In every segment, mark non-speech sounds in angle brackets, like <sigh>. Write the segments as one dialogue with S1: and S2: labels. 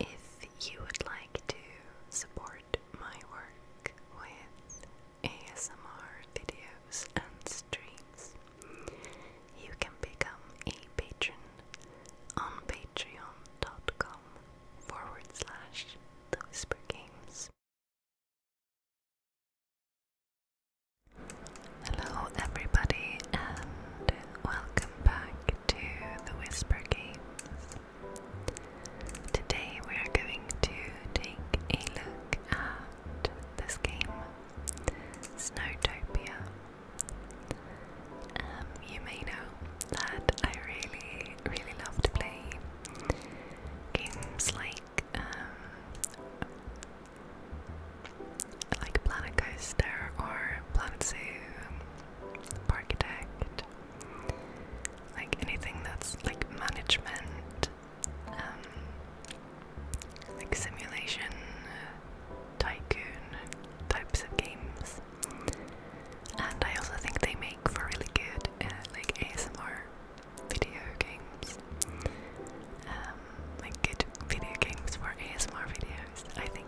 S1: If you would like to support my work with ASMR videos and streams, you can become a patron on patreon.com forward Hello, everybody, and welcome back to the Whisper Games. Today, we are going to take a look at this game, Snowtopia. Um, you may know that I really, really love to play games like um, like Planet Coaster or Planet Zoo, Parkitect, like anything that's like management, um, like simulation, tycoon types of games. And I also think they make for really good uh, like ASMR video games, um, like good video games for ASMR videos, I think.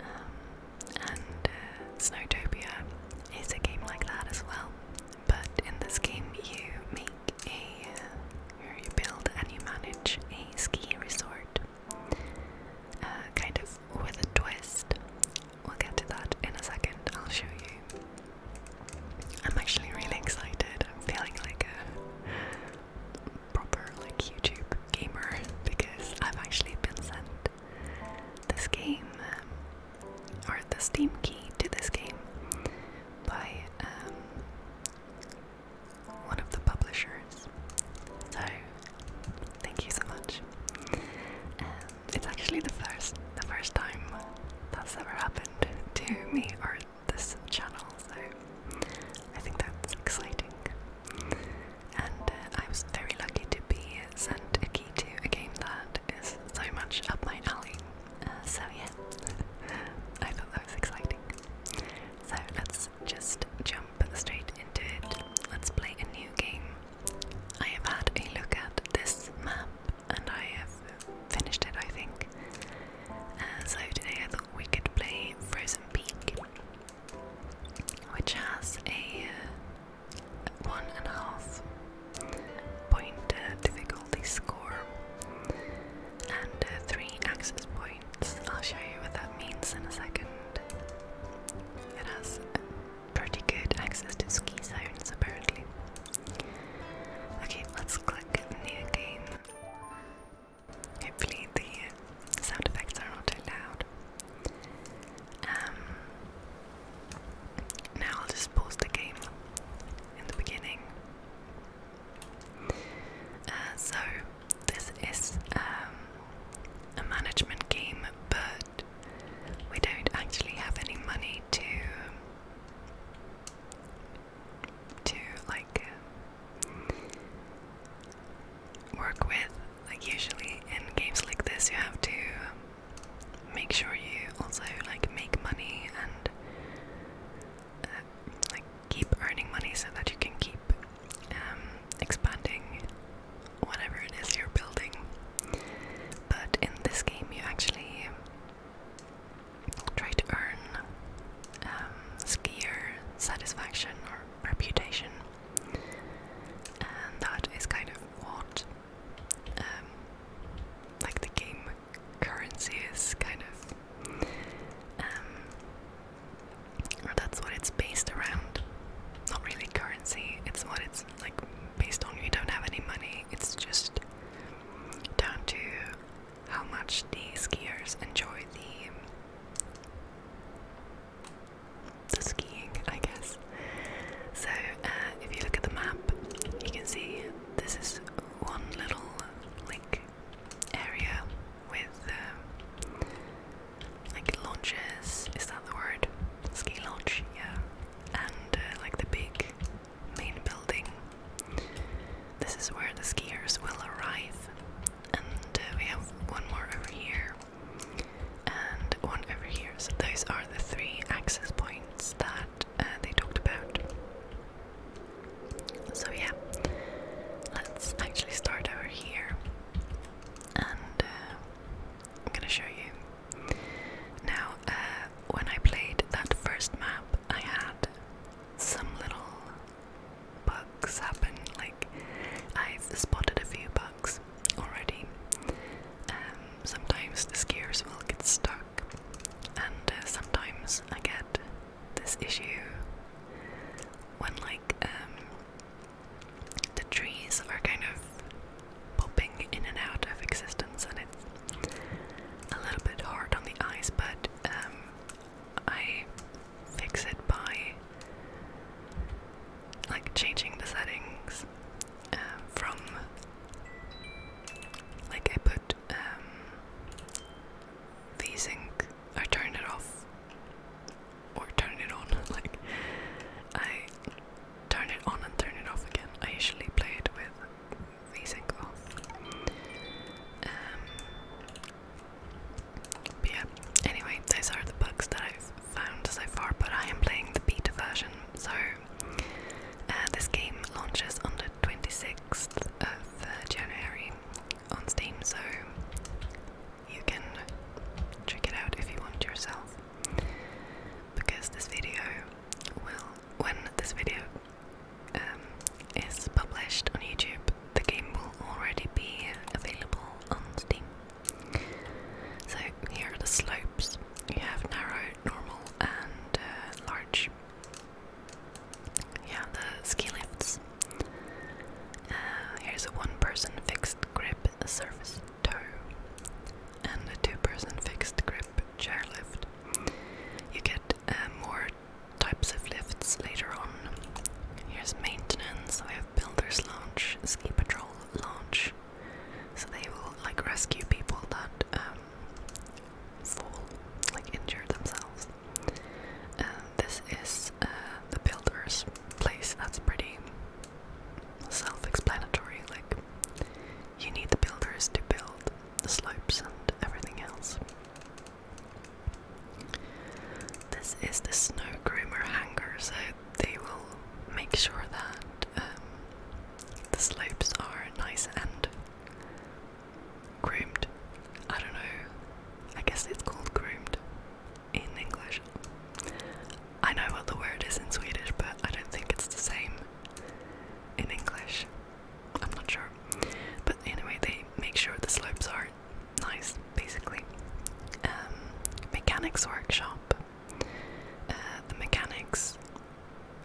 S1: Um, and uh, Snowtopia is a game like that as well, but in this game you make a, uh, you build and you manage a ski resort, uh, kind of with a twist. We'll get to that in a second. I'll show you I'm actually really excited. I'm feeling like a proper like YouTube gamer because I've actually been sent this game um, or the Steam key to this game by um, one of the publishers. So thank you so much. Um, it's actually the first the first time that's ever happened to me or this channel, so I think that's exciting. And uh, I was very lucky to be sent a key to a game that is so much up my alley. Uh, so, yeah, <laughs> I thought that was exciting. So, let's just jump straight into it. Let's play a new game. I have had a look at this map and I have finished it, I think. Uh, so today I thought we could play Frozen Peak, which has a uh, one and a half point uh, difficulty score and three access points. I'll show you what that means in a second. It has pretty good access to ski zones apparently. Okay, let's click new game. Hopefully the sound effects are not too loud. Um, now I'll just pause the game in the beginning. Uh, so this is um, a management game, but we don't actually have any money to to like work with. Like usually in games like this, you have to make sure you also like make money and uh, like keep earning money so that you can keep um, expanding whatever it is you're building. But in this game, you actually try to earn um, skier satisfaction or reputation, and that is kind of what um, like the game currency is kind of, um, or that's what it's based around. Not really currency; it's what it's like based on. You don't have any money; it's just down to how much the skiers enjoy the the skiing, I guess. So uh, if you look at the map, you can see this is one little like area with uh, like launches. Is that the word? Ski launch, yeah. And uh, like the big main building. This is where the skiers will arrive, and uh, we have one more over here and one over here. So those are the three access points that uh, they talked about. So yeah, let's actually start over here, and uh, I'm gonna show you now. when I played that first map, I had some little bugs happen. Like I've spotted a few bugs already. Um, sometimes the skiers will get stuck, and uh, sometimes I get this issue when like um, the trees are kind of popping in and out of existence, and it's a little bit hard on the eyes, but um, I fix it by like changing the settings um, from like I put um, the sync, it off or turn it on, <laughs> like I turn it on and turn it off again. I usually play it with um, yeah, anyway, those are the bugs that I've found so far, but I am playing the beta version, so uh, this game launches on the 26th of uh, January on Steam, so you can check it out if you want yourself. Because this video will, win this video um, is published on YouTube, the game will already be available on Steam. So here are the slopes. You have narrow, normal, and uh, large. You the ski lifts. Uh, here's a one-person fixed grip surface toe, and a two-person fixed grip chairlift. You get uh, more types of lifts later on. Here's maintenance. I have builder's launch, ski patrol launch. So they will like rescue people that um, fall, like injure themselves. Uh, this is uh, the builder's place. That's pretty self-explanatory. Like you need the builders to build the slopes and everything else. This is the snow groomer hangar, so they will make sure that um, the slopes are nice and groomed. I don't know, I guess it's called groomed in English. I know what the word is in Swedish, but I don't think it's the same in English. I'm not sure. But anyway, they make sure the slopes are nice, basically. Um, mechanics workshop. Uh, the mechanics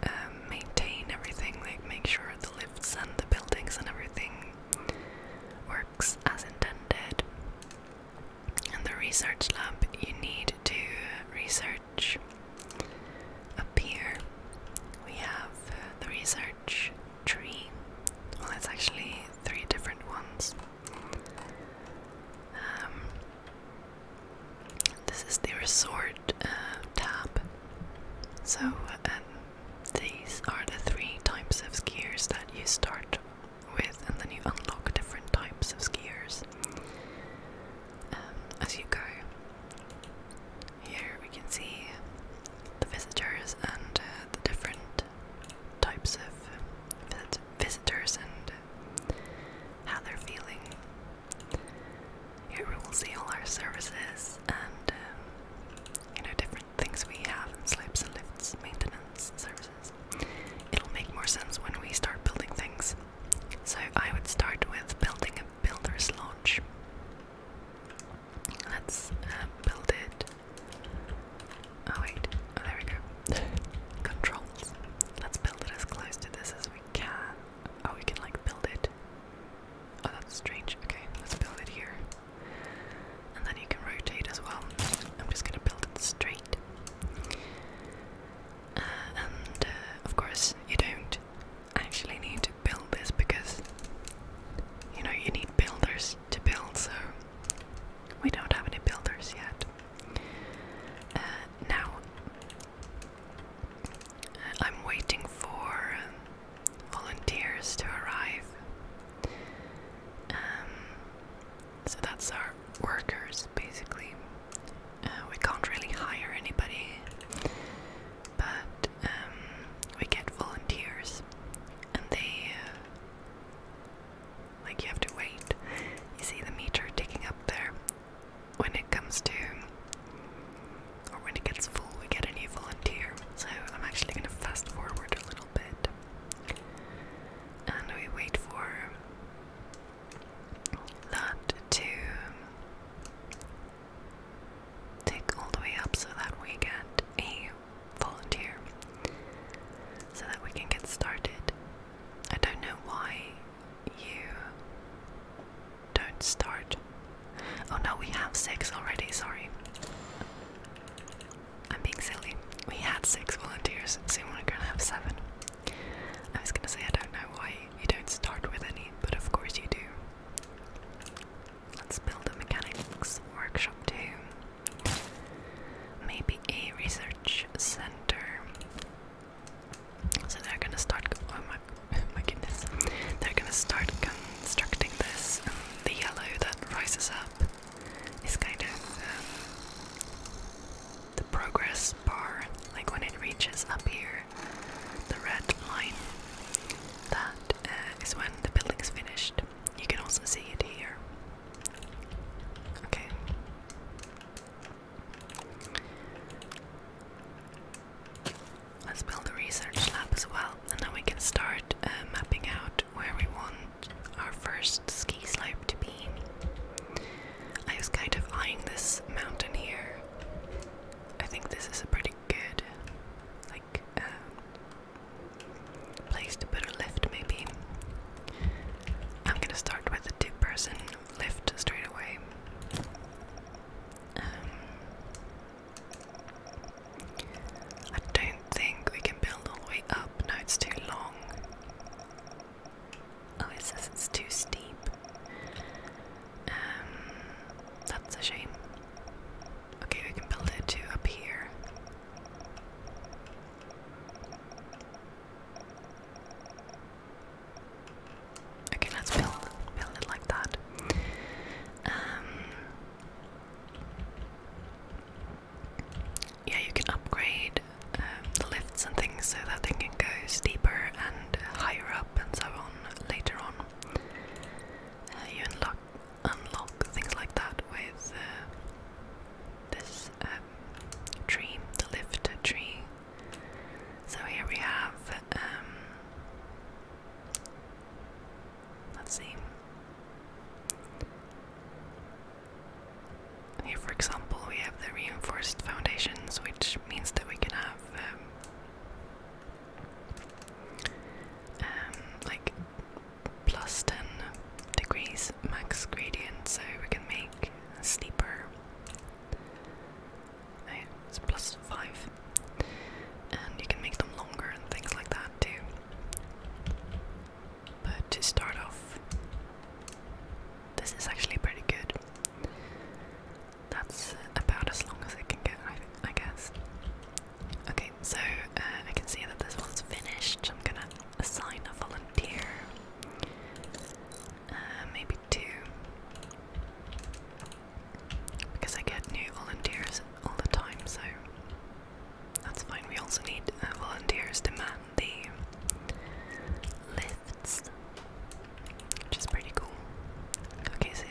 S1: um, maintain everything, like make sure the lifts and the buildings and everything works as intended. And the research lab, you need to research research. Up here we have uh, the research tree. Well, it's actually three different ones. Um, this is the resort uh, tab. So, these are the three types of skiers that you start with, and then you unlock different types of skiers. Um, as you go. Here we can see the visitors and uh, the different types of visitors and how they're feeling. Here we will see all our services and um, you know different things we have and slopes and lifts, maintenance services. It'll make more sense when we start building things. So I would start with building builder's launch. Let's uh, build it. Oh wait, oh, there we go. <laughs> Controls. Let's build it as close to this as we can. Oh, we can like build it. Oh, that's strange. Okay, let's build it here. And then you can rotate as well. I'm just gonna build it straight. Uh, and uh, of course, you don't actually need to build this because you know you need builders to build so we don't have any builders yet uh, now I'm waiting for volunteers to arrive um, so that's our workers basically uh, we can't really hire anybody but um, we get volunteers and they uh, like you have to wait you see the meter ticking up there when it comes to or when it gets full we get a new volunteer so i'm actually going to fast forward a little bit and we wait for that to take all the way up so that we get a volunteer so that we can get started. I don't know why you don't start. Oh no, we have six already, sorry. I'm being silly. We had six volunteers, so we're gonna have seven. I was gonna say, I don't know why you don't start with any, but of course you do. Let's build a mechanics workshop too. Maybe a research center. So they're gonna start. Oh my, oh my goodness! They're gonna start constructing this, the yellow that rises up is kind of um, the progress bar. Like when it reaches up here, the red line. That uh, is when the building is finished. You can also see it here. Okay. Let's build a research lab as well, and then we can start uh, mapping out where we want our first ski slope to be. I was kind of eyeing this mountain here. I think this is a pretty good like um, place to put a lift maybe. I'm gonna start with a two person lift straight away. Um, I don't think we can build all the way up, no it's too long. Oh, it says it's too steep. Um, that's a shame. Okay, we can build it to up here. Okay, let's build build it like that. Um, yeah, you can upgrade um, the lifts and things so that they can go steeper and higher up and so on later on. Uh, you unlock things like that with uh, this um, tree, the lift tree. So here we have. Um, let's see. Here, for example, we have the reinforced foundations, which means that we can have um, um, like plus 10 degrees max gradient, so we can make steeper. Oh, it's plus 5. And you can make them longer and things like that too. But to start off, this is actually pretty good that's about as long as it can get, I, I guess. Okay, so uh, I can see that this one's finished. I'm gonna assign a volunteer. Uh, maybe two. Because I get new volunteers all the time, so that's fine. We also need uh, volunteers to man the lifts, which is pretty cool. Okay, so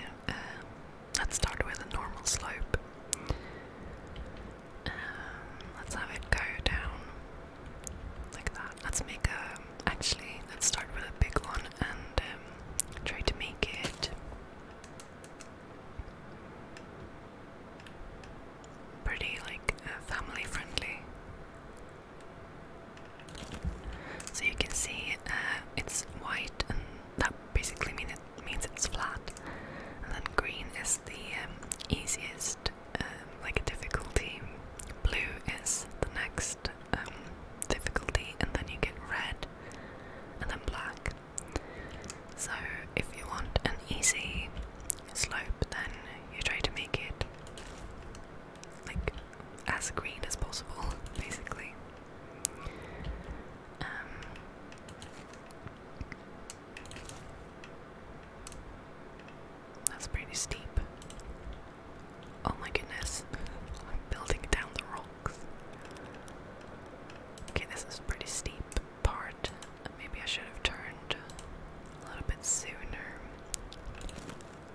S1: let's start with a normal slope. Um, let's have it go down like that. Let's make a. Actually, let's start with a big one and um, try to make it pretty, like uh, family friendly. So you can see uh, it's white, and that basically means it's flat. And then green is the um, easiest, um, like a difficulty. Blue is the next um, difficulty, and then you get red, and then black. So if you want an easy slope, then you try to make it like as green as possible, <laughs> basically. Um, that's pretty steep. Oh my goodness, <laughs> I'm building down the rocks. Okay, this is pretty steep part. Maybe I should have turned a little bit sooner.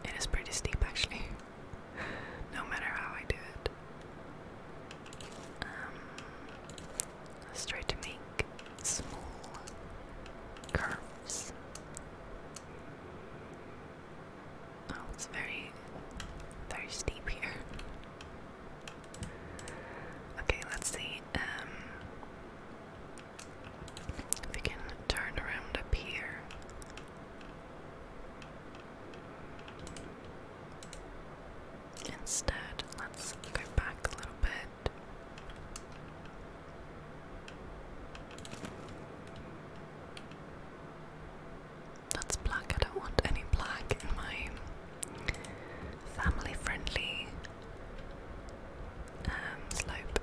S1: It is pretty steep actually. <laughs> no matter how I do it. Um, let's try to make small curves. Oh, it's very, very steep here. Okay, let's see. Um, we can turn around up here. Instead, let's go back a little bit. That's black. I don't want any black in my family friendly um, slope.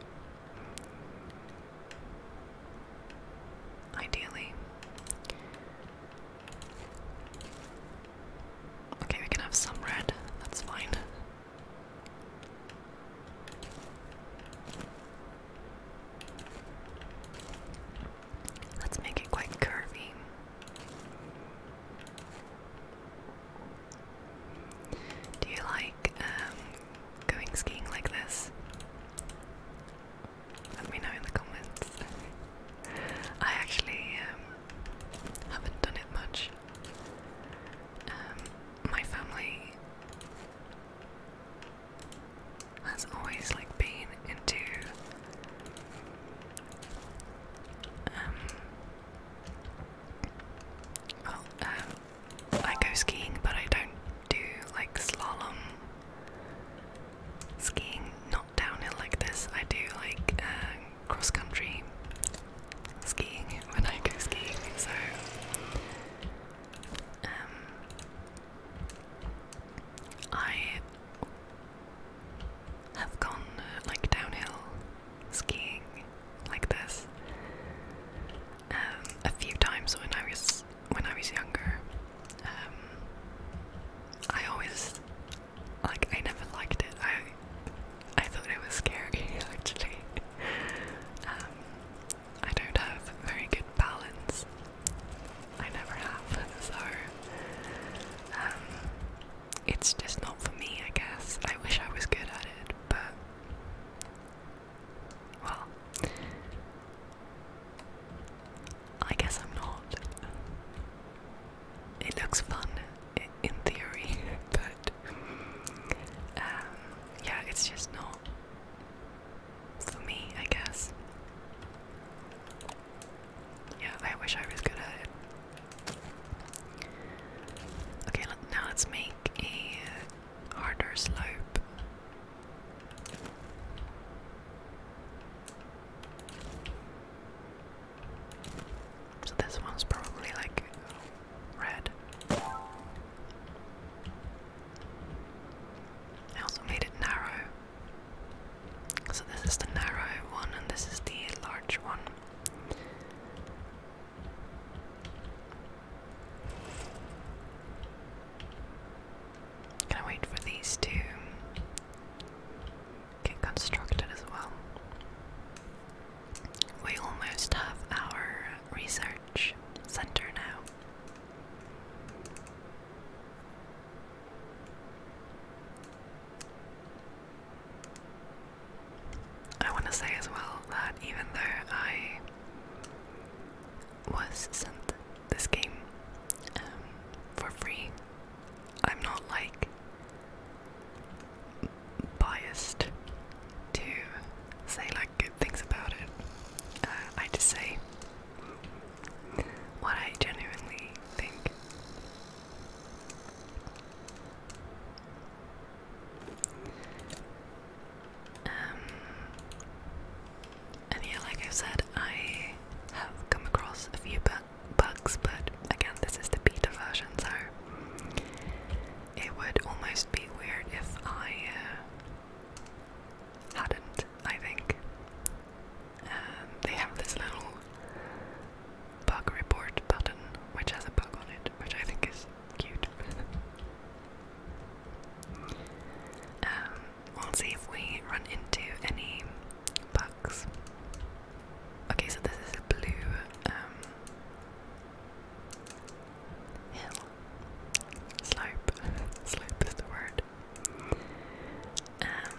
S1: Ideally. Okay, we can have some red. That's fine. Let's make it quite curvy. Do you like um, going skiing like this? Let me know in the comments. I actually um, haven't done it much. Um, my family has always like been into um, well, I go skiing, but I don't do like slalom Skiing, not downhill like this. I do like uh, cross country skiing when I go skiing, so. Um, I have gone uh, like downhill skiing like this um, a few times when I was when I was younger, um, I always like I never liked it. I I thought it was scary <laughs> actually. Um, I don't have very good balance. I never have, <laughs> so um, it's just not for me. I guess I wish I was good at it, but well, I guess I'm not. It looks fun in theory, <laughs> but um, yeah, it's just not for me, I guess. Yeah, I wish I was good at Okay, now let's make a harder slope. So this one's probably like red. I also made it narrow. So this is the narrow one and this is the large one. Gonna wait for these to get constructed as well. We almost have our research center now. I want to say as well that even though I was sent this game um, for free. I'm not like biased to say like good things about it. Uh, I just say what I genuinely think. Um, and yeah, like I said, I have come across a few bugs, but again, this is the beta version, so it would almost be weird if I uh, hadn't, I think. Um, they have this little bug report button which has a bug on it, which I think is cute. <laughs> Um, We'll see if we run into any bugs. Okay, so this is a blue um, hill. Slope. <laughs> Slope is the word. Um,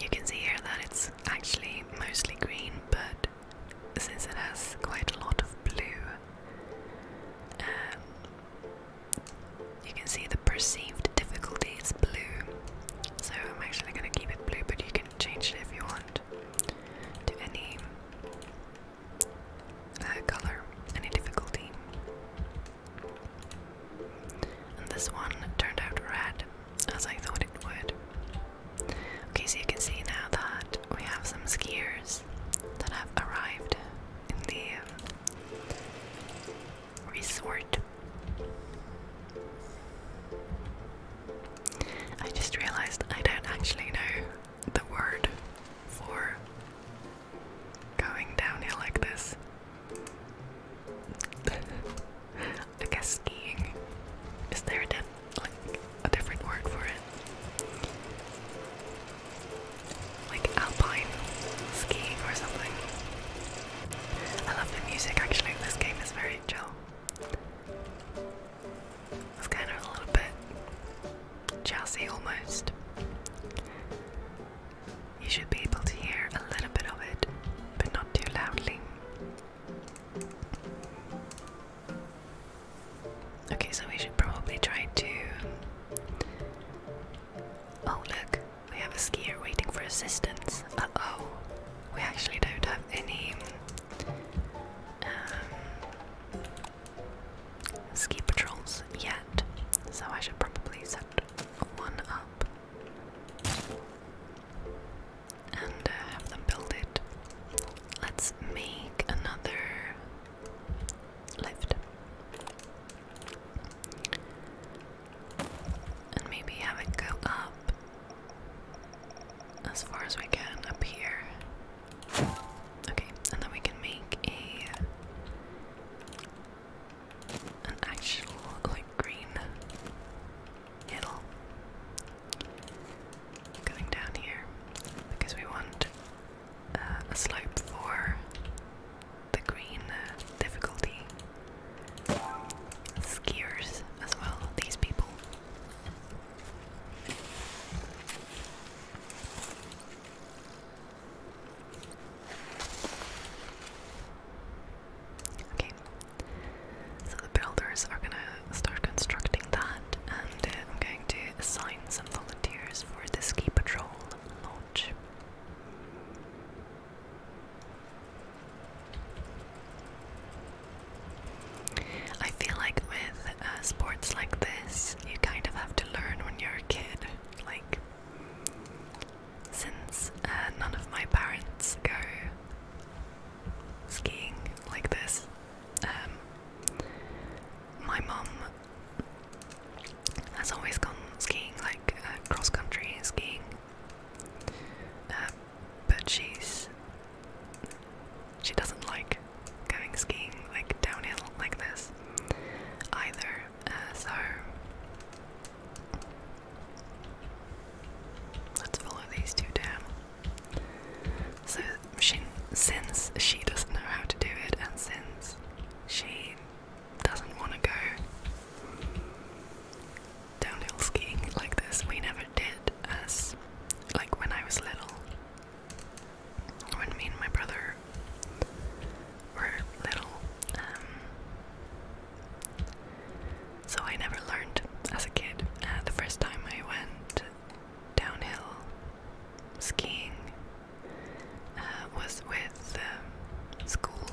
S1: you can see here that it's actually mostly green, but since it has quite a lot of blue, um, you can see the perceived difficulty is blue. So I'm actually going to keep it blue, but you can change it if you want to any uh, color, any difficulty. And this one turned out red, as I thought it would. Okay, so you can see now that we have some skiers that have arrived in the Resort. I just realized I don't actually know the word for going downhill like this. I guess skiing. Is there a, like, a different word for it? like alpine skiing or something. I love the music actually, this game is very chill. It's kind of a little bit jazzy almost. You should be able to hear a little bit of it, but not too loudly. Okay, so we should probably try to Oh look, we have a skier waiting for assistance. Uh oh, we actually don't have any um, ski patrols yet, so I should probably set one up and uh, have them build it. Let's make another lift. And maybe have it go up as far as we can up here. Okay, and then we can make a an actual green hill going down here because we want uh, a slope for the green difficulty skiers as well, these people. Okay, so the builders are gonna start constructing that, and uh, I'm going to assign some volunteers for the ski patrol. I feel like with uh, sports like this, you kind of have to learn when you're a kid. Like, since uh, none of my parents go skiing like this, um, my mum has always gone skiing, like uh, cross country skiing. Uh, but she's she doesn't like going skiing like downhill like this either. Uh, so let's follow these two down. So she, since she doesn't know how to do it, and since she doesn't want to go downhill skiing like this. We never did as like when I was little. When me and my brother were little. Um, so I never learned as a kid. Uh, the first time I went downhill skiing uh, was with um, school,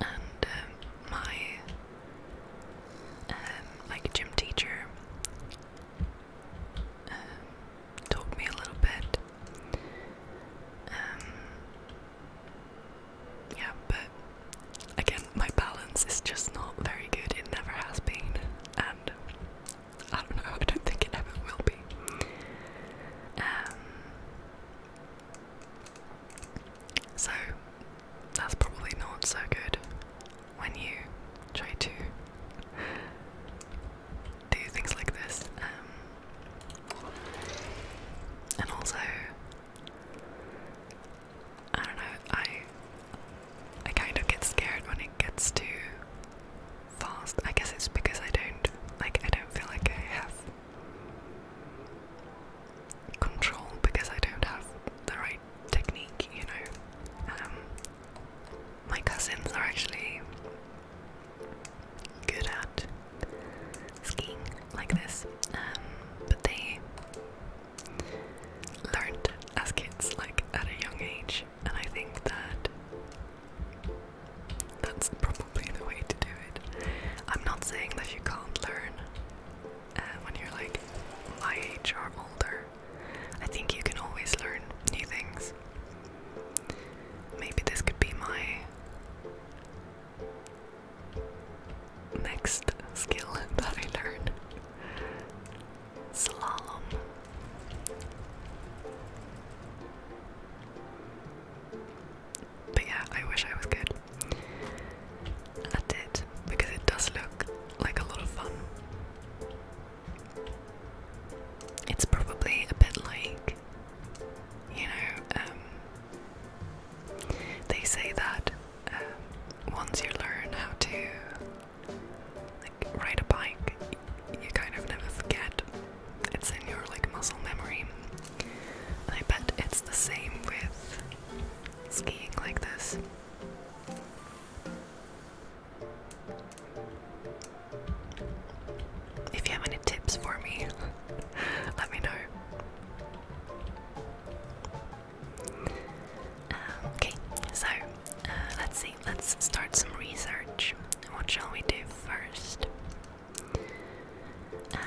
S1: and um, my um, like gym teacher taught me a little bit. yeah, but again, my balance is just not very good. It never has been, and I don't know, I don't think it ever will be. Um, so, that's probably not so good when you try to do things like this. Um, and also, I don't know, I I kind of get scared when it gets to fast. I guess it's because I don't like I don't feel like I have control because I don't have the right technique, you know. Um, my cousins are actually good at skiing like this, um, but they learned as kids, like at a young age, and I think that that's probably the way to do it. I'm not saying that you can't learn uh, when you're like my age or older. I think you can always learn new things. Maybe this could be my next skill <laughs> that I learn. Slalom. But yeah, I wish I was good at it because it does look like a lot of fun. It's probably a bit like, you know, um, they say that um, once you learn how to ride a bike, you kind of never forget. It's in your like muscle memory. And I bet it's the same with skiing like this. If you have any tips for me, <laughs> let me know. Um, okay, so uh, let's see let's start some research. What shall we do first? Um,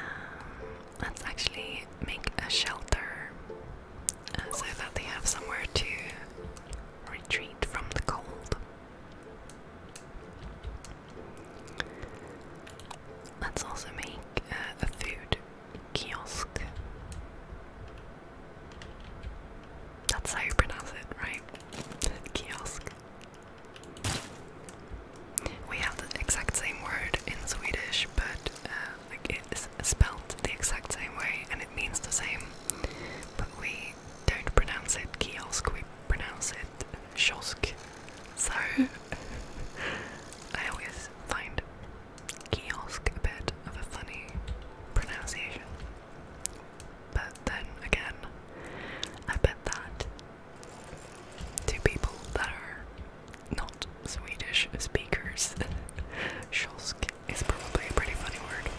S1: let's actually make a shelter uh, so that they have somewhere to retreat from the cold. Let's also make uh, a food kiosk. That's how you pronounce it, right? Kiosk. We have the exact same word in Swedish, but uh, it is spelled the exact same way and it means the same. But we don't pronounce it kiosk, we pronounce it kiosk. So <laughs> I always find kiosk a bit of a funny pronunciation. But then again, I bet that to people that are not Swedish speakers, <laughs> Scholsk is probably a pretty funny word.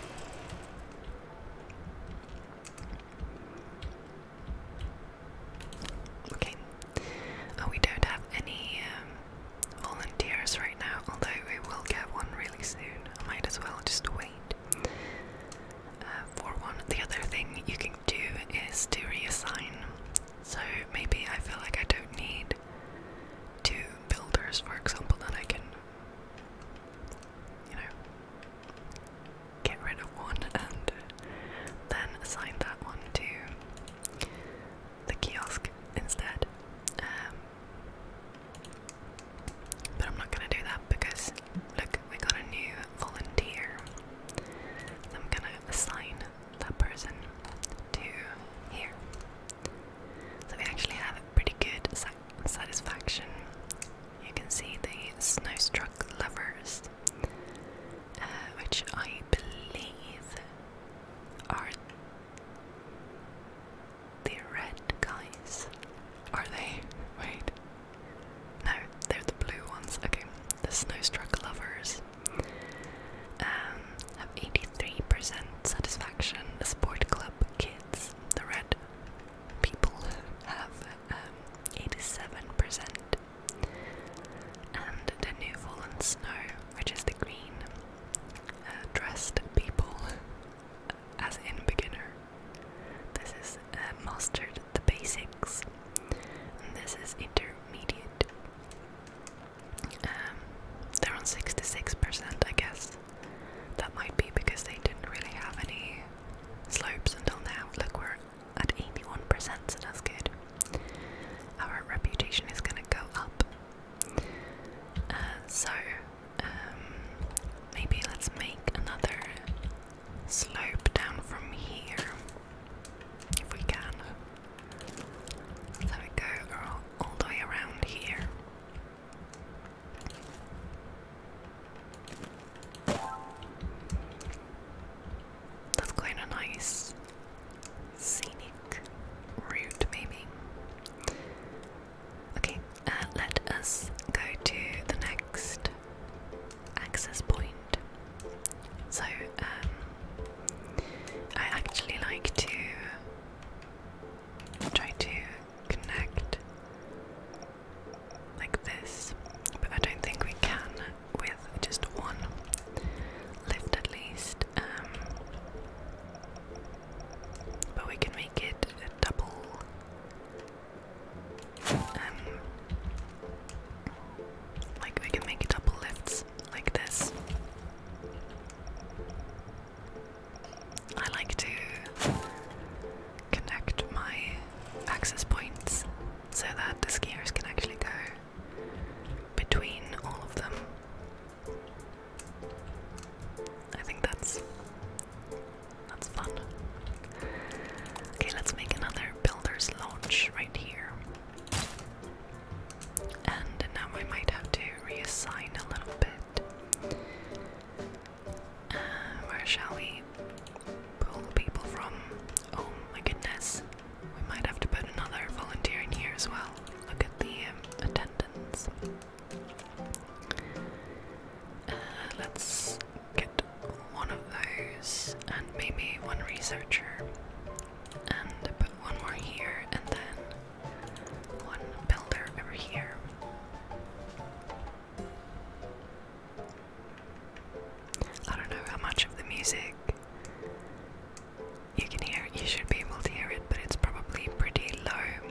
S1: Okay, oh, we don't have any um, volunteers right now, although we will get one really soon. might as well just wait. Uh, for one, the other thing you can do is to reassign. So maybe I feel like I don't need two builders, for example, then I can, you know, get rid of one <laughs> and then assign that one to the kiosk instead. Um, but I'm not gonna do that because look, we got a new volunteer. I'm gonna assign that person to here. So we actually have a pretty good satisfaction. You can see the snowstruck lovers, uh, which I believe are the red guys. Are they? Wait. No, they're the blue ones. Okay, the Snowstruck Lovers um, have 83% satisfaction. The Sport Club Kids, the red people, have 87%. Um, and the New Fallen Snow, which is the green uh, dressed people, as in beginner, this is uh, mastered the basics, this is intermediate. Um, they're on 66%, I guess. That might be because they didn't really have any slopes until now. Look, we're at 81%, so that's good. Our reputation is going to go up. Uh, so, um, maybe let's make another slope down from here, if we can. Let's go all, the way around here. That's quite a nice scenic route, maybe. Okay, uh, let us go to the next access point. So, um, I actually like to try to connect like this, but I don't think we can with just one lift at least. Um, but we can make it a double um, like we can make double lifts like this. I like to connect my access points so that the skiers can actually go between all of them. I think that's that's fun. Okay, let's make another builder's launch right here. And now I might have to reassign a little bit. Uh, where shall we pull people from? Oh my goodness. We might have to put another volunteer in here as well. Look at the um, attendance. Uh, let's get one of those and maybe one researcher and put one more here and then one builder over here. I don't know how much of the music you can hear, you should be able to hear it, but it's probably pretty low.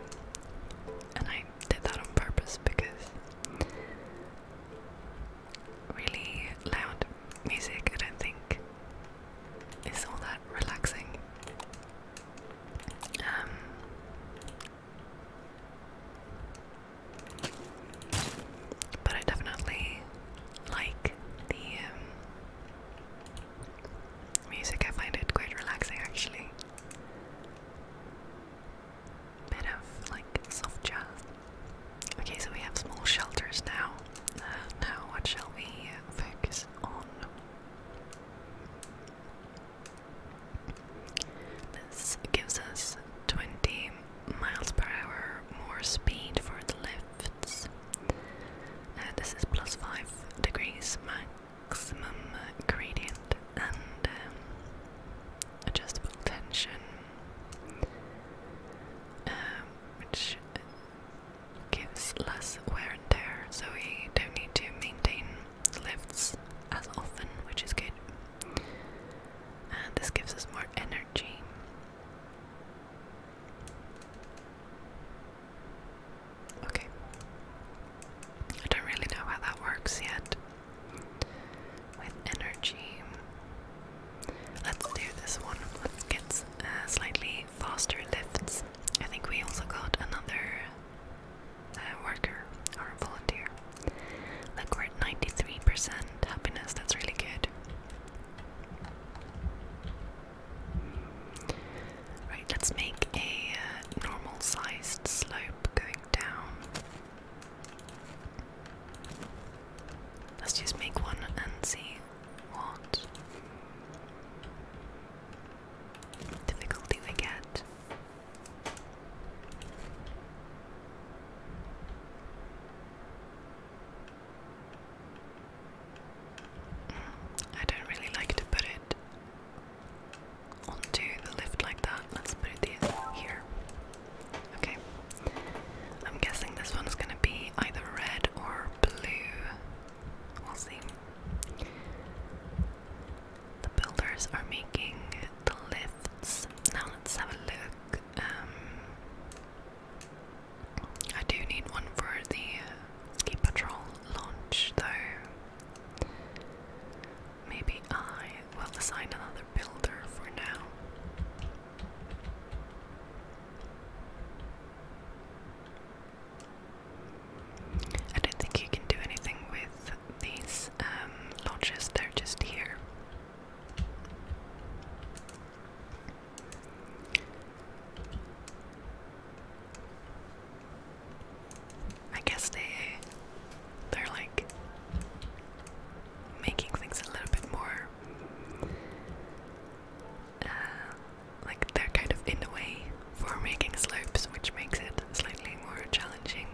S1: And I I did that on purpose because really loud music, I don't think, is all that relaxing. Um, but I definitely like the um, music. I find it quite relaxing, actually bit of like soft jazz. Okay, so we have small shelters now. Uh, now, what shall we focus on? This gives us 20 miles per hour more speed for the lifts. and uh, this is plus 5 degrees max maximum gradient and um, adjustable tension, um, which gives less wear and tear, so we don't need to maintain lifts as often, which is good. And this gives us more energy. Okay. I don't really know how that works yet with energy. Let's do this one. Let's get uh, slightly faster lifts. I think we also got another uh, worker or volunteer. Look, we're at 93% happiness. That's really good. Right, let's make a uh, normal sized slope going down. Let's just make one and see what difficulty we get. Mm, I don't really like to put it onto the lift like that. Let's put it here. Okay. I'm guessing this one's gonna be either red or blue. We'll see. The builders are making the lifts. Now let's have a look. Um, I do need one for the ski patrol launch though. Maybe I will assign another builder for now. I don't think you can do anything with these um, lodges, they're just here. I guess they they're like making things a little bit more uh, like they're kind of in the way for making slopes, which makes it slightly more challenging,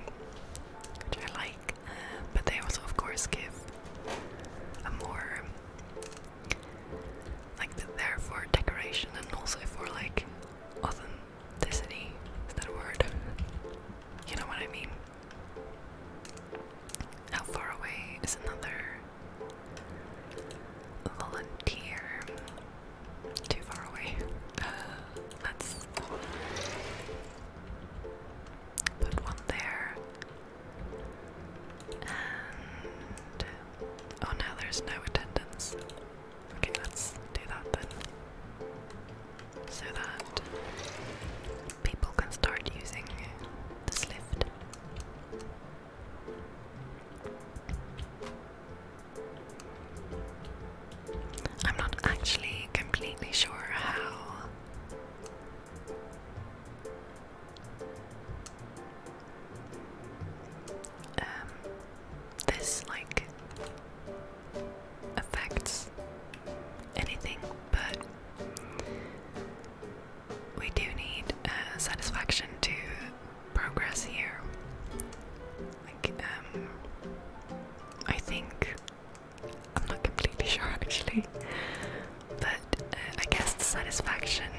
S1: which I like. Uh, but they also, of course, give a more like they're there for decoration and also for like autumn the Is that a word? You know what I mean? How far away is another volunteer? Too far away. let's <laughs> put one there. Oh, now there's no attendance. Okay, let's do that then. So that people can start using this lift. I'm not actually completely sure how um, this like affects anything, but we do need uh, satisfaction to progress here. Like, um, I think I'm not completely <laughs> sure actually, but uh, I guess the satisfaction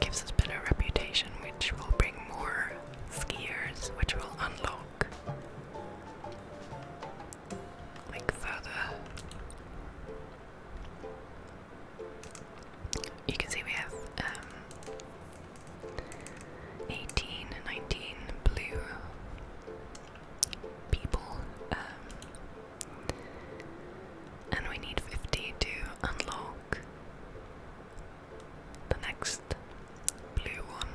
S1: gives us better reputation, which will bring more skiers, which will unlock look like further. You can see we have um, 18, 19 blue people, um, and we need 50 to unlock the next blue one,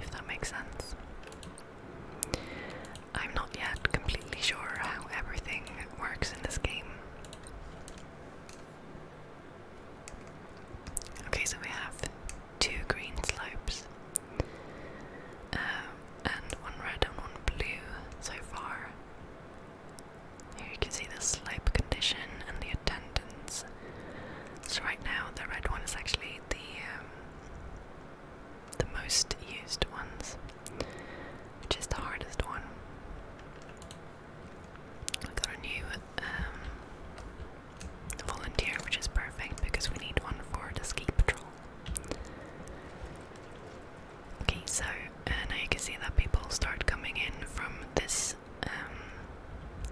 S1: if that makes sense. I'm not yet completely sure how everything works in this game. Okay, so we have two green slopes, um, and one red and one blue so far. Here you can see the slope condition and the attendance so right now the red one is actually the um, the most used ones, which is the hardest one. I got a new um, volunteer, which is perfect because we need one for the ski patrol. Okay, so uh, now you can see that people start coming in from this um,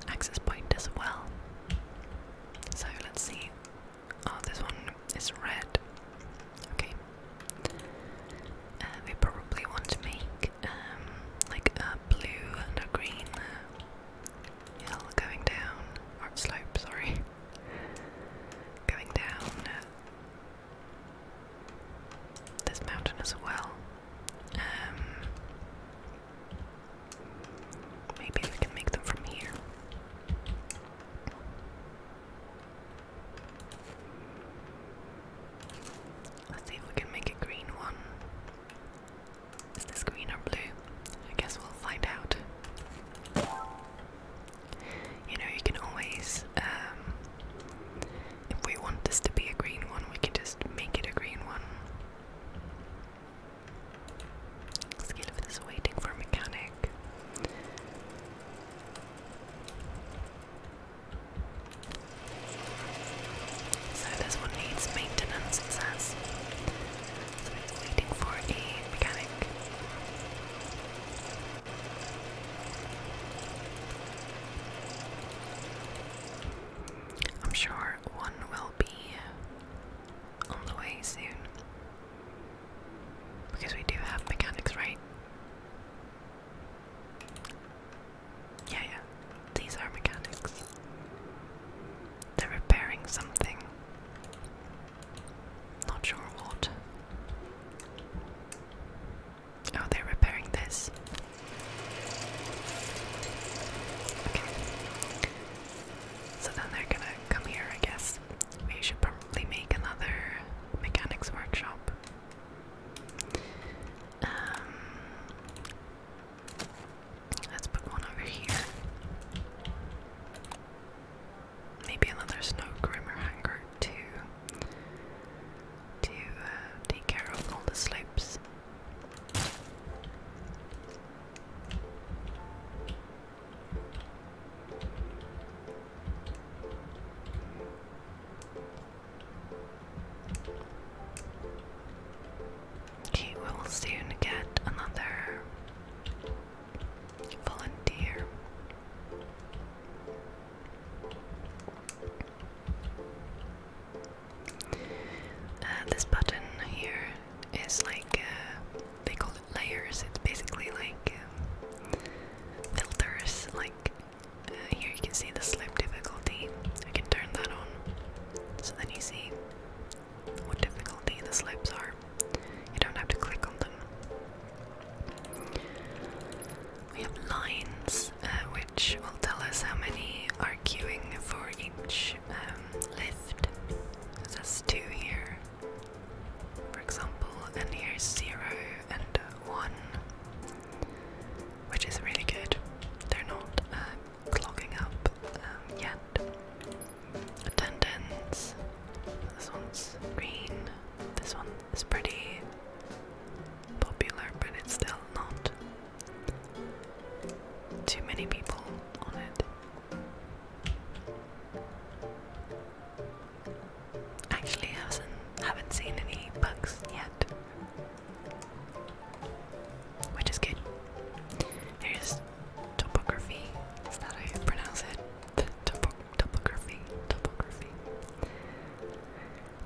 S1: access point as well. So let's see. Oh, this one is red. Okay. we uh, probably want to make um, like a blue and a green uh, hill going down, or slope, sorry, going down uh, this mountain as well. Um, maybe we can make them from here. Let's see if we can make a green one. Is this green or blue? I guess we'll find out. You know, you can always, um, if we want this to be a green one, we can just make it a green one. Skillet is waiting for mechanic. So this one needs maintenance, it says. So it's waiting for a mechanic. I'm sure one will be on the way soon. Because we do have mechanics, right? Yeah, yeah. These are mechanics. They're repairing something. Not sure what. Oh, they're repairing this. Okay. So then they're gonna come here, I guess. We should probably make another mechanics workshop. Um, let's put one over here. Maybe another snow groomer hangar to to uh, take care of all the slopes. He will soon get another volunteer. Uh, this button here is like uh, they call it layers. It's basically like um, filters. Like uh, here, you can see the slip difficulty. I can turn that on, so then you see what difficulty the slips are. You don't have to click on them. We have lines, which will tell us how many are queuing for each um, says 2 here, for example, and here's 0 and 1, which is really good. They're not uh, clogging up um, yet. Attendance. This one's green. This one is pretty popular, but it's still not too many people on it. Actually, I haven't, seen any bugs yet, which is good. Here's topography. Is that how you pronounce it? topography, topography.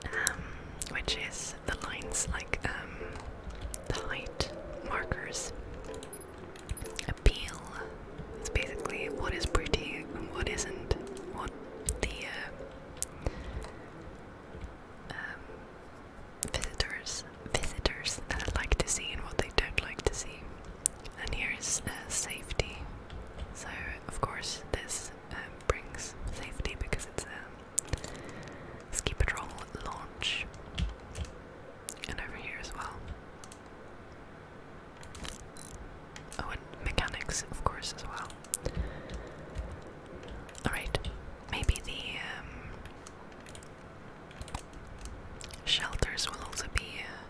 S1: Um, which is the lines like. Um, the height markers. Appeal is basically what is pretty and what isn't. What the uh, um, visitors visitors uh, like to see and what they don't like to see. And here's uh, safety. So of course this um, brings safety because it's a um, Ski Patrol launch. And over here as well. Oh, and mechanics, of course, as well. Alright, maybe the um, shelters will also be uh,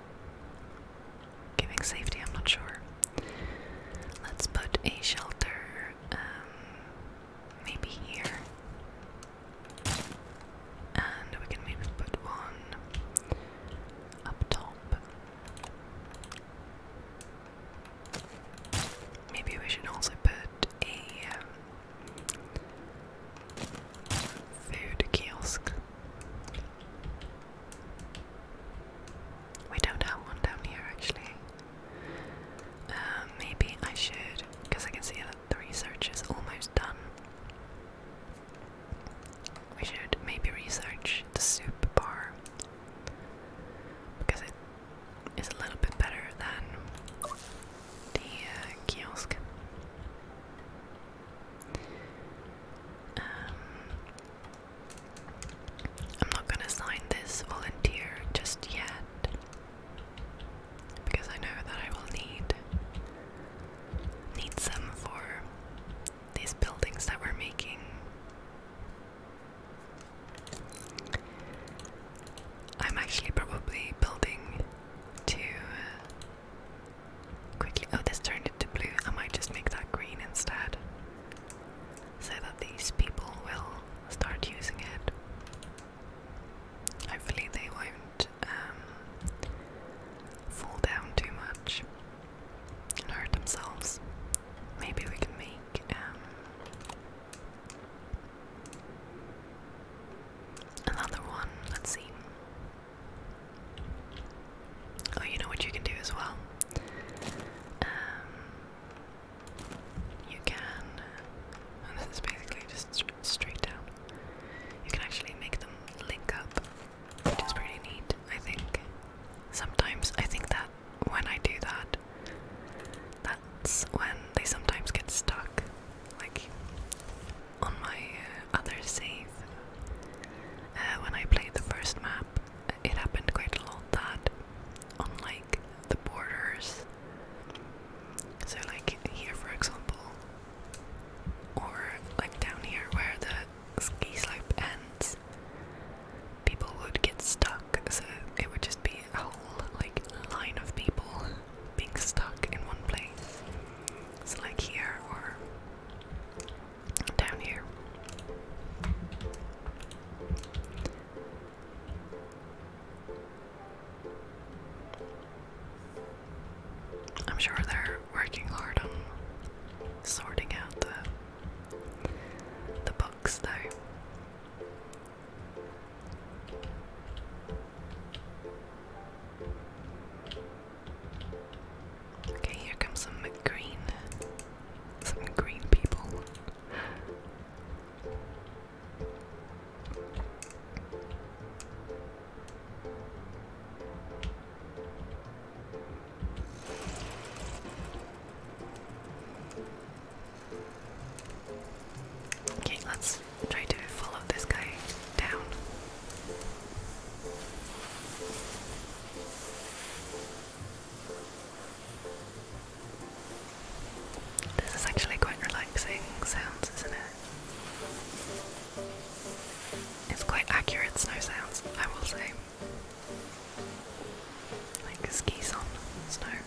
S1: giving safety, I'm not sure. Let's put a shelter um, maybe here. And we can maybe put one up top. Maybe we should also put a um, food kiosk. We don't have one down here actually. Uh, maybe I should, because I can see that the research is almost done. We should maybe research the soup bar because it is a little bit better than the uh, kiosk. Um, I'm not gonna sign this volunteer just yet because I know that I will need need some for these buildings that we're making. I'm actually probably building to uh, quickly. Oh, this turned into blue. I might just make that green instead so that these people will start using it. Hopefully, they won't um, fall down too much and hurt themselves. Maybe we can make um, another one. Let's see. Oh, you know what you can do as well? Um, you can, and oh, this is basically just straight down, you can actually make them link up, which is pretty neat, I think. Sometimes I think that when I do that, that's when they sometimes get stuck. Like on my uh, other save, uh, when I played the first map, it happened quite a lot that unlike the borders so, like here, for example, or like down here where the ski slope ends, people would get stuck. So, it would just be a whole like line of people being stuck in one place. So, like here or down here. I'm sure they're working hard on sorting out the the books though. Okay, here comes some green some green people. Okay, let's try to follow this guy down. This is actually quite relaxing sounds, isn't it? It's quite accurate snow sounds, I will say. Like skis on snow.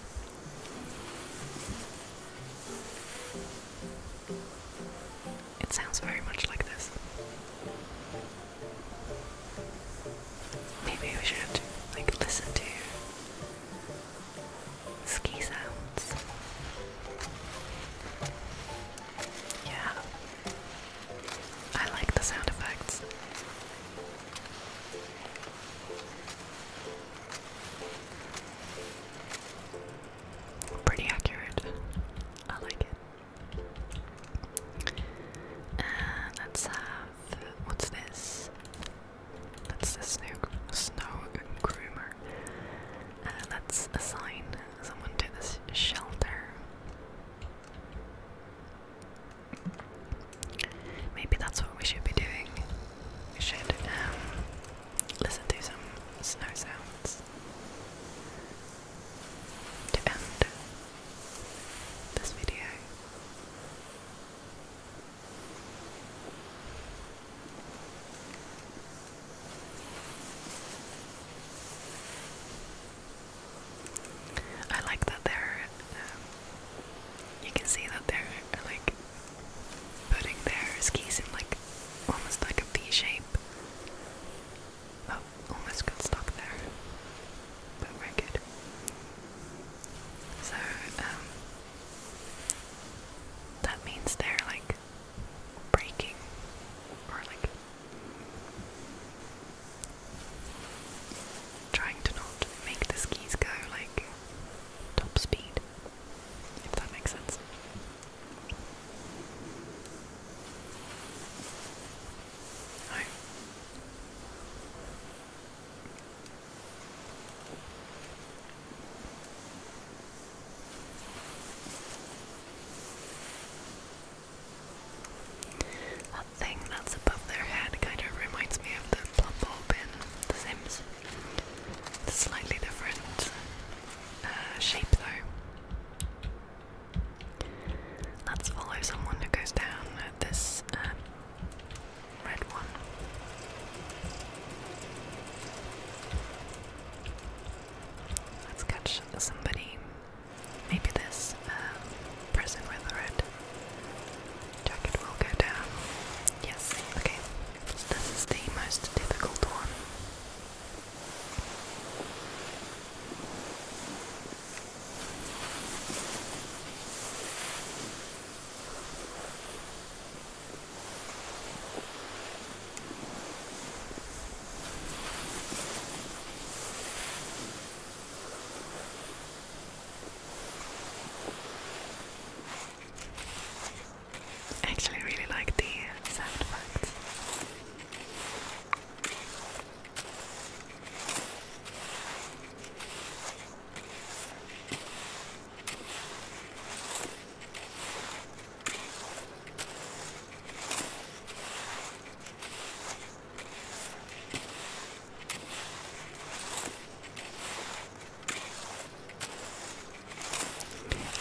S1: It sounds very much like this. Maybe we should like listen to Ski sounds. Yeah. I like the sound effects. Pretty accurate. I like it. And uh, let's have what's this? That's the snow, groomer. let's uh, assign someone to this shelter. Maybe that's what we should be doing. We should um, listen to some snow sounds to end this video. I like that they're. Um, you can see that they're like putting their skis in like almost like a V shape. Oh, almost got stuck there, but we good. So um, that means they're like breaking or like trying to not make the skis go like top speed, if that makes sense. That thing that's above their head kind of reminds me of the plum bulb in The Sims. slightly different uh, shape though. Let's follow someone who goes down this uh, red one. Let's catch somebody. Maybe this um, person with the red jacket will go down. Yes, okay. this is the most difficult one. I actually really like the sound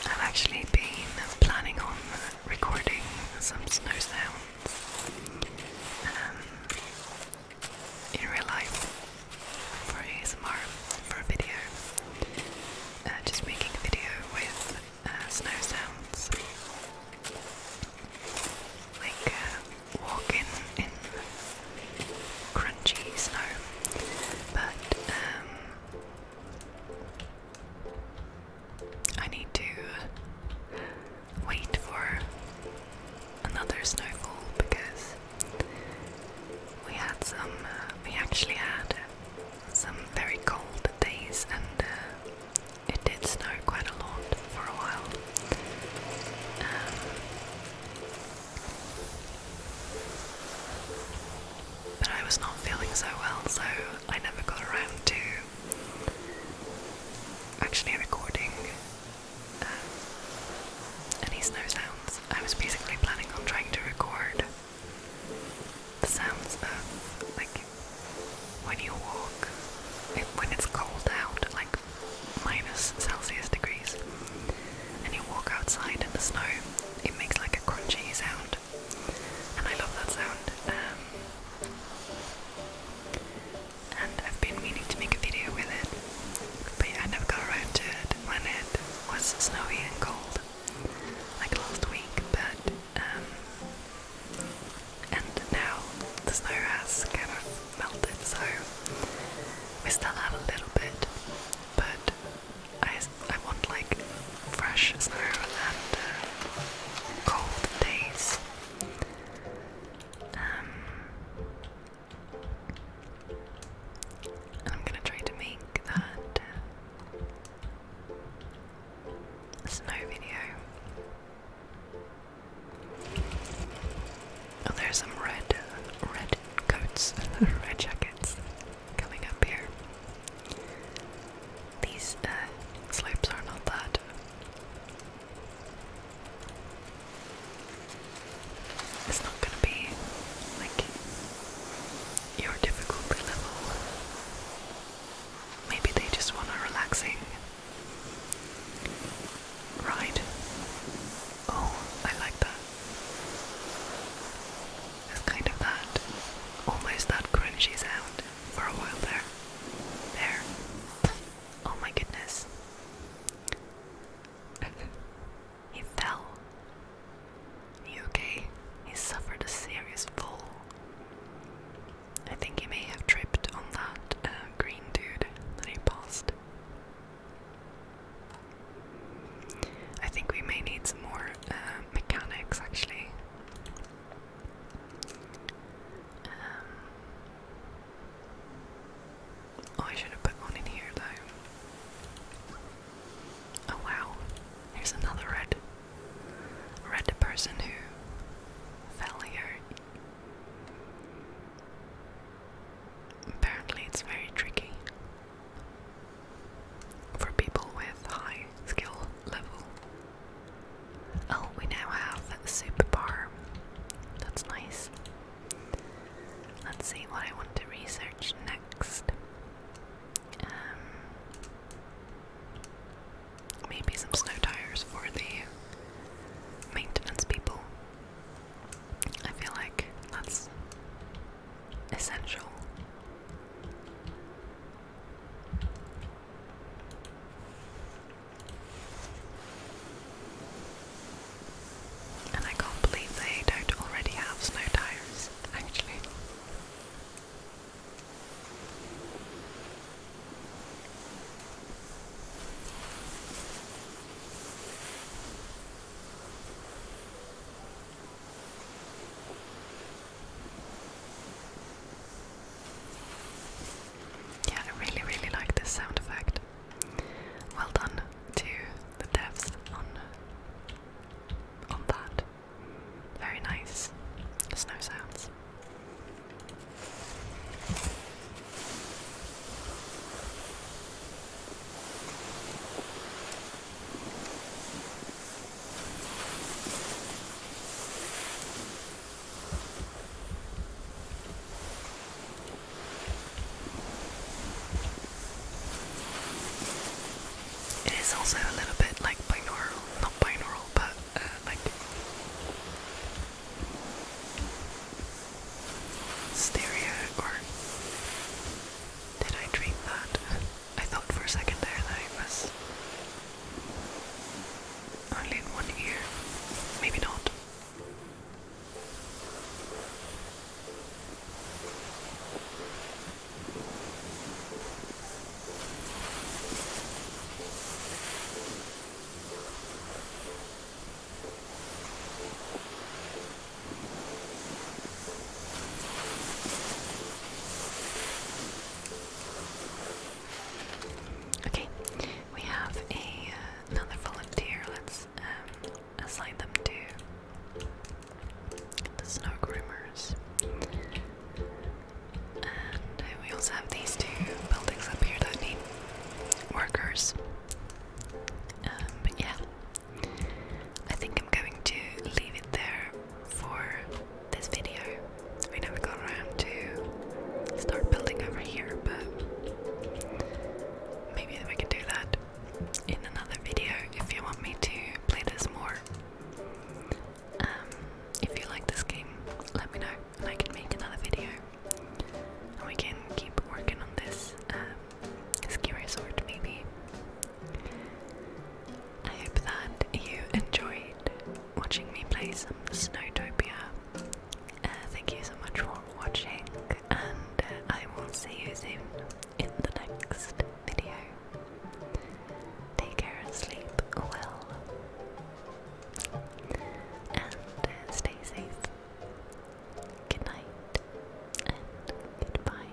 S1: I've actually been planning on recording some snow sounds um, in real life for ASMR for a video. Uh, just making a video with uh, snow sounds. Like uh, walking in crunchy snow. But um, I need to wait for another snowfall because we had some, uh, we actually had some very cold days and uh, it did snow quite a lot for a while. Um, but I was not feeling so well, so I never got around to actually recording um, any snow sounds. I was basically planning on trying to record the sounds of like when you walk when it's cold out like minus Celsius degrees and you walk outside in the snow it makes like a crunchy sound and I love that sound um, and I've been meaning to make a video with it but yeah, I never got around to it when it was snowy and cold, like last week. But um, and now the snow has kind of melted, so we still have a little bit, but I I want like fresh snow and uh, cold days. Um, I'm gonna try to make that snow video. Oh, there's some red, red coats, <laughs> red jackets coming up here. These uh, slopes are not that it's not gonna be like your difficulty level. Maybe they just want a relaxing ride. Oh, I like that. It's kind of that, almost that crunchy sound for a while there. There. Oh my goodness. <laughs> He fell. Are okay? He suffered a serious fall. I think he may have tripped on that uh, green dude that he passed. I think we may need some more uh, mechanics actually. Um, oh, I should have put one in here though. Oh wow, here's another red. Red person who fell here. Apparently, it's very tricky for people with high skill level. Oh, we now have a bar. That's nice. Let's see what I want to research next. Um, maybe some snow tires for the maintenance people. I feel like that's essential. And I can't believe they don't already have snow tires actually. Yeah, I really, really like this sound effect. Well done to the devs on on that. Very nice snow sounds. It is also a little bit like binaural, not binaural, but uh, like stereo. Or did I dream that? I thought for a second there that it was only in one ear. Maybe not. Okay, we have uh, another volunteer. Let's um, assign them to the snow groomers. And we also have these two buildings up here that need workers. Um, but yeah, I think I'm going to leave it there for this video. We never got around to start building over here, but maybe we can do that in another video if you want me to play this more. Um, if you like this game, let me know and I can make another video. And we can keep working on this um, ski resort maybe. I hope that you enjoyed watching me play some Snowtopia. Uh, thank you so much for watching and uh, I will see you soon in the next video. Take care and sleep well. And uh, stay safe. Good night and goodbye.